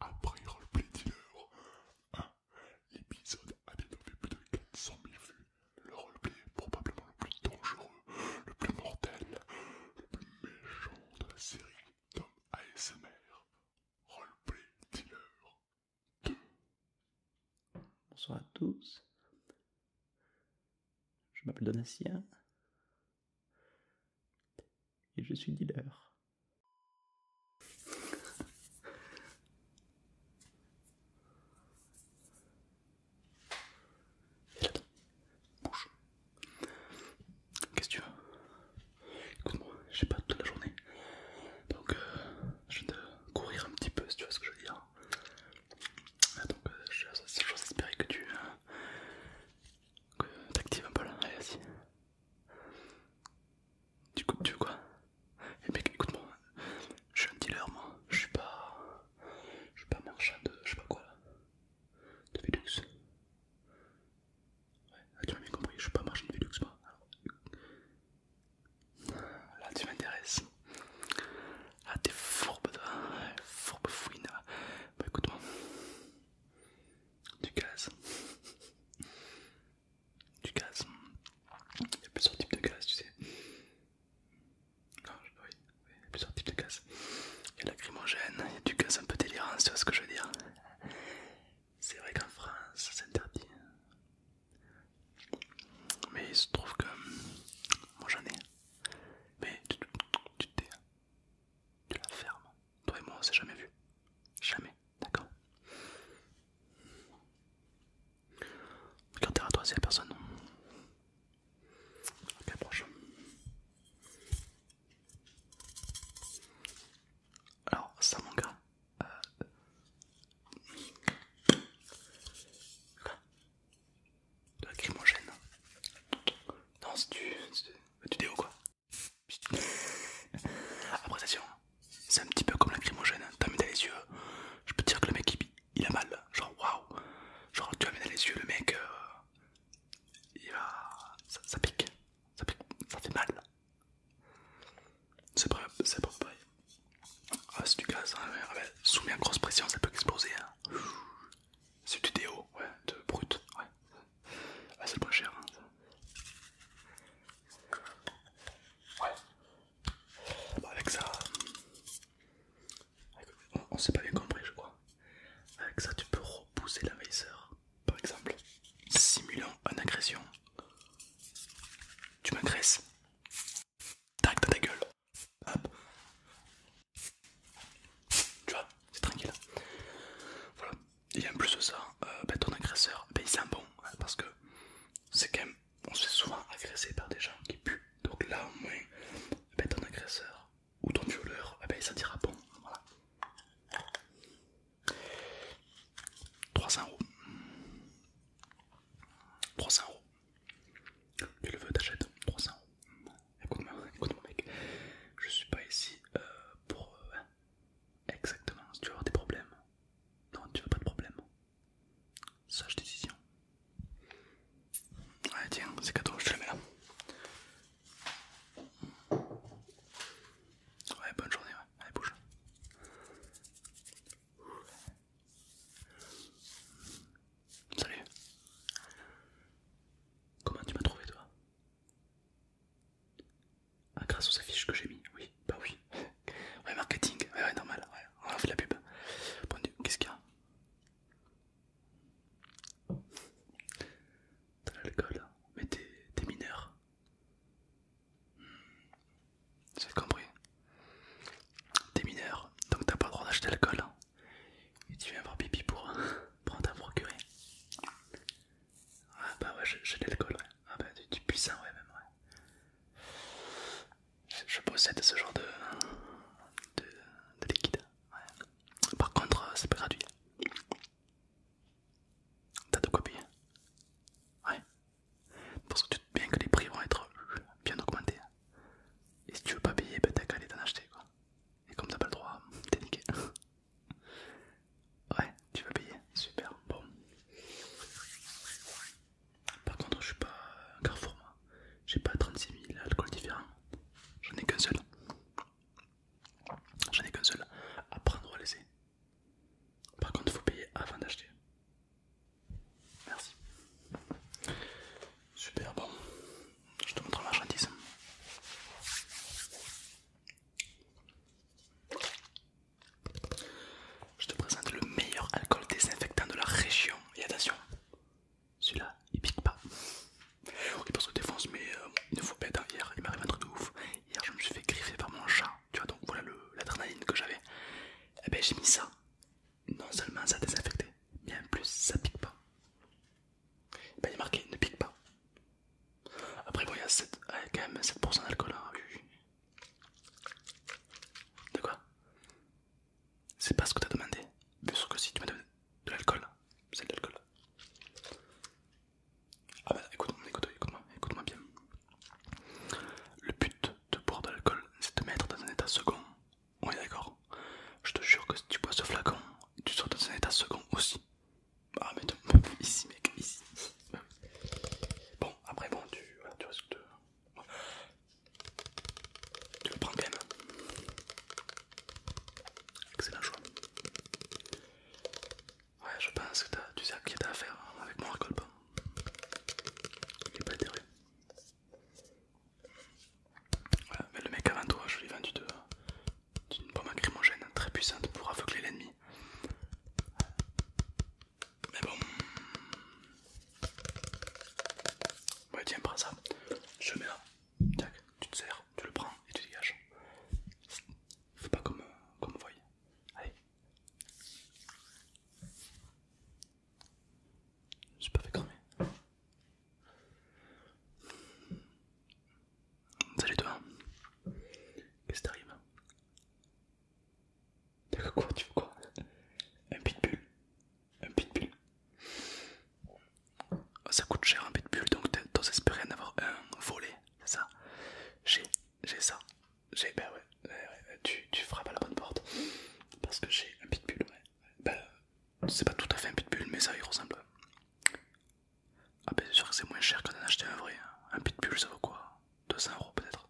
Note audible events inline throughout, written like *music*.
après Roleplay Dealer 1. Hein, l'épisode a dénommé plus de 400 000 vues. Le roleplay est probablement le plus dangereux, le plus mortel, le plus méchant de la série Tom ASMR. Roleplay Dealer 2. Bonsoir à tous. Je m'appelle Donatien. Et je suis dealer. Bouge. Qu'est-ce que tu veux Écoute-moi, j'ai pas toute la journée. Donc euh, je viens de courir un petit peu si tu vois ce que je veux dire. Ah, donc euh, je j'ose espérer que tu euh, t'actives un peu là. Allez, vas-y. Du coup, tu veux quoi Eh mec, écoute-moi, je suis un dealer, moi, je suis pas. Je suis pas marchand de. je sais pas quoi là. De Velux. Ouais, ah, tu m'as bien compris, je suis pas marchand de Velux, moi. Alors... Là, tu m'intéresses. Ah, t'es fourbe, de... Fourbe fouine. Bah, écoute-moi du gaz. du gaz. Il y a plusieurs types de gaz, tu sais. oui, oui, il y a plusieurs types de gaz. Il y a lacrymogène, il y a du gaz un peu délirant, tu vois ce que je veux dire. C'est vrai qu'en France, c'est interdit. Mais il se trouve que moi j'en ai. Mais tu, te tu la fermes. Toi et moi, on s'est jamais vu. Jamais, d'accord Regardez à toi, c'est la personne. Ok, prochain. Alors, ça, mon gars. Euh... Quoi De la crimogène. Non, c'est du, du déo, quoi appréciation, attention, c'est un petit peu comme lacrymogène. Hein. t'as mis dans les yeux, je peux dire que le mec il, a mal. Genre, waouh! Genre, tu as mis dans les yeux, le mec euh, il va. Ça, pique, ça pique, ça fait mal. C'est pas, c'est pas pareil. Ah, c'est du gaz, hein. ah, soumis à grosse pression, ça peut exploser. Hein. C'est du déo, ouais, de brut, ouais, ah, c'est pas cher, hein, Ouais. Bah, avec ça. Euh, on, s'est pas bien compris, je crois. Avec ça, tu peux repousser l'envahisseur. Par exemple, simulant une agression. Tu m'agresses. Tac dans ta gueule. Hop. Tu vois, c'est tranquille. Voilà et en plus de ça, euh, ben, ton agresseur, ben, il sent bon, hein, parce que c'est quand même, on se fait souvent agresser par des gens qui puent, donc là au moins, ben, ton agresseur ou ton violeur, bah, il sentira bon, voilà. 300 euros. 300 euros. Tu le veux, t'achètes 300 euros. Écoute-moi, écoute mec, je suis pas ici euh, pour euh, Exactement, si tu veux avoir des problèmes. Non, tu veux pas de problème. Sage décision. Ouais, tiens, c'est cadeau, je te le mets là. Ouais, bonne journée, ouais. Allez, bouge. Salut. Comment tu m'as trouvé, toi ah, grâce aux affiches que j'ai mis, oui, bah oui. *laughs* Ouais, marketing, ouais, normal, ouais. on fait la pub. Bon, qu'est-ce qu'il y a T'as l'alcool, mais t'es mineur. c'est hmm, J'ai compris. T'es mineur, donc t'as pas le droit d'acheter l'alcool. Et tu viens voir pipi pour, *laughs* prendre ta procurer. Ah bah ouais, j'ai de l'alcool, ouais. Ah bah du, puissant, ouais, même, ouais. Je, possède ce genre de, de, liquide, Par contre, euh, c'est pas gratuit. T'as de quoi Ouais. Parce que tu te bien que les prix vont être bien augmentés. Et si tu veux pas payer, ben t'as qu'à aller t'en acheter, quoi. Et comme t'as pas le droit, t'es niqué. *laughs* Ouais, tu vas payer, super, bon. Par contre, je suis pas un carrefour, moi. J'ai pas 36 000 alcools différents. J'en ai qu'un seul. J'en ai qu'un seul à prendre ou à laisser. Par contre, faut payer avant d'acheter. Merci. Super, bon. Je te montre la marchandise. Je te présente le meilleur alcool désinfectant de la région. Et attention, celui-là, il pique pas. il parce que défonce mais il ne faut pas être hier. Il m'arrive un truc de ouf. Hier, je me suis fait griffer par mon chat. Tu vois, donc voilà l'adrénaline que j'avais. Et eh ben, j'ai mis ça. Non seulement ça désinfecté, mais en plus, ça pique pas. Eh ben, il est marqué ne pique pas. Après, bon, il y a ah, quand même 7% d'alcool. Hein. De quoi C'est pas ce que t'as demandé. Bien sûr que si tu m'as demandé de l'alcool, c'est de l'alcool. Ah bah écoute, moi écoute-moi bien. Le but de boire de l'alcool, c'est de te mettre dans un état second. On est d'accord Je te jure que si tu bois ce flacon, tu seras dans un état second aussi. Ah, mais de... ici, mec, ici. Bon, après, bon, tu, tu risques de. Tu le prends quand même. Excellent choix. Ouais, je pense que tu sais à qui t'as affaire hein, avec mon récolte. Hein. Il est pas intérêt. mais le mec avant toi, je ai vendu de une pomme acrymogène très puissante pour aveugler l'ennemi. Mais bon. Ouais, tiens, prends ça. Je mets là. Tac, tu te sers, tu le prends et tu dégages. Fais pas comme, euh, comme vous voyez. Allez. Je suis pas fait cramer. Salut toi. Qu'est-ce qui t'arrive Tu veux quoi Un pitbull Un pitbull ah, Ça coûte cher un pitbull donc t'oses espérer en avoir un volé, c'est ça J'ai j'ai ça. J'ai ben ouais, ben ben tu, tu frappes à la bonne porte parce que j'ai un pitbull ouais. Ben c'est pas tout à fait un pitbull mais ça y ressemble. Ah ben c'est sûr que c'est moins cher que d'en acheter un vrai. Hein. Un pitbull ça vaut quoi 200 euros peut-être.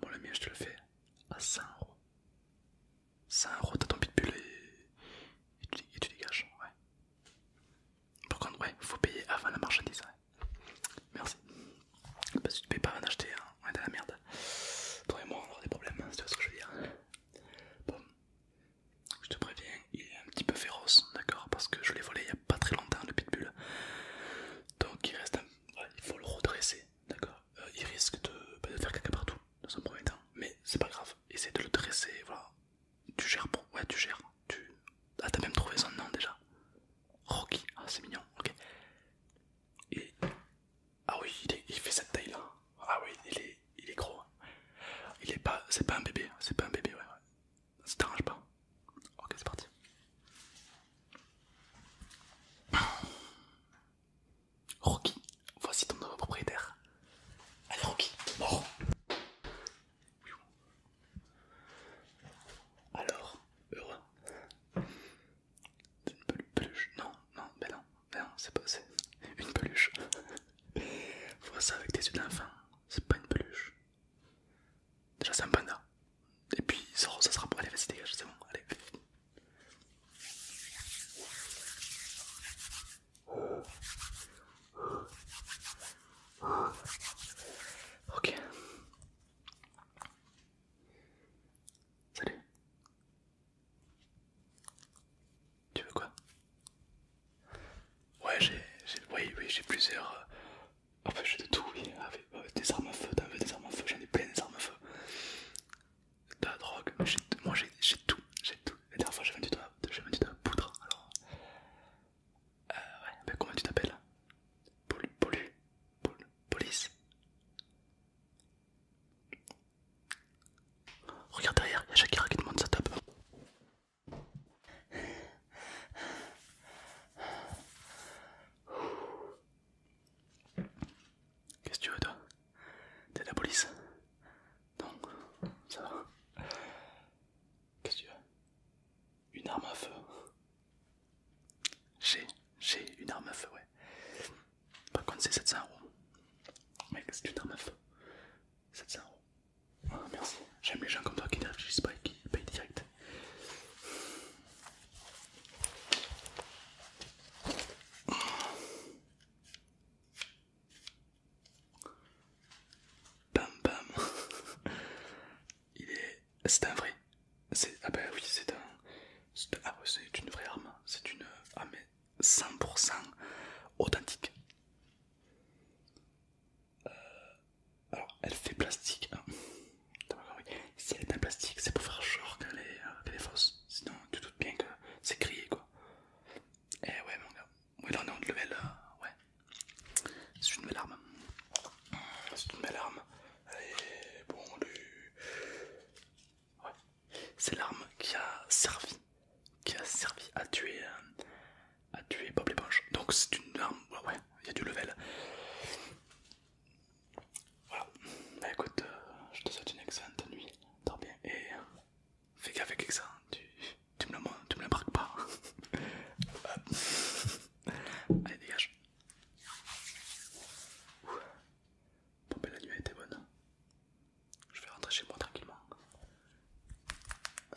Bon le mien je te le fais à 100 euros. 100 euros t'as ton pitbull et, et, tu, les gâches Ouais. Par contre ouais, faut payer avant la marchandise. Merci. Parce que si tu payes pas avant d'acheter, on est dans la merde. Toi et moi on aura des problèmes, hein, tu c'est ce que je veux dire. Bon, je te préviens, il est un petit peu féroce, d'accord Parce que je l'ai volé il n'y a pas très longtemps, le pitbull. Donc il reste il faut le redresser, d'accord euh, Il risque bah, de, faire caca partout, dans un premier temps. Mais c'est pas grave, essaye de le dresser, voilà. Tu gères pour... Ouais, tu gères. Tu... Ah, t'as même trouvé son nom déjà. Rocky, ah c'est mignon, ok. Et... Ah oui, il, fait cette taille là. Ah oui, il est, il est gros. Hein. Il est pas... C'est pas un bébé, c'est pas un bébé, ouais. Ça t'arrange pas Ok, c'est parti. Rocky, voici ton nouveau propriétaire. Allez Rocky, mort Alors, heureux C'est une peluche. Non, non, mais non, mais non, c'est pas c'est une peluche. *laughs* Vois ça avec tes yeux d'enfant, c'est pas une peluche. Déjà c'est un panda. Et puis ça sera bon. Allez, vas-y, dégage, c'est bon. Allez. Ok. Salut. Tu veux quoi Ouais, j'ai oui, j'ai plusieurs. Euh, en fait, j'ai de tout, oui. Euh, des armes à feu, t'as des armes à feu, j'en ai plein des armes à feu. De la drogue, moi j'ai tout, j'ai tout. La dernière fois, j'ai vendu de la, poudre, alors. Euh, ouais, comment tu t'appelles Paul Polu, Paul Police. Regarde derrière, y'a y a Shakira qui demande sa top Qu'est-ce que tu veux toi T'es la police Non, ça va. Qu'est-ce que tu veux Une arme à feu. J'ai, j'ai une arme à feu, ouais. Par contre c'est 700 euros. Mec, c'est une arme à feu. 700 euros. Ah, merci, j'aime les gens comme toi qui ne réfléchissent pas et qui payent direct. Bam bam *laughs* Il est... c'est un vrai Ah ben oui c'est un... Ah c'est une vraie arme, c'est une... arme ah, 100% authentique euh, alors, elle fait plastique. Hein. Si elle est en plastique, c'est pour faire genre euh, qu'elle est, fausse. Sinon, tu doutes bien que c'est grillé quoi. Eh ouais, mon gars. Ouais, là on est en level. ouais. C'est une belle arme. C'est une belle arme. Elle bon, Ouais. C'est l'arme qui a servi. Qui a servi à tuer. Euh, à tuer Bob l'éponge. Donc c'est une arme, ouais, il y a du level. Voilà, bah écoute, euh, je te souhaite une excellente nuit, dors bien et euh, fais gaffe avec ça, tu, tu me le, tu me pas. *laughs* Allez, dégage. Ben, la nuit a été bonne. Je vais rentrer chez moi tranquillement. Euh.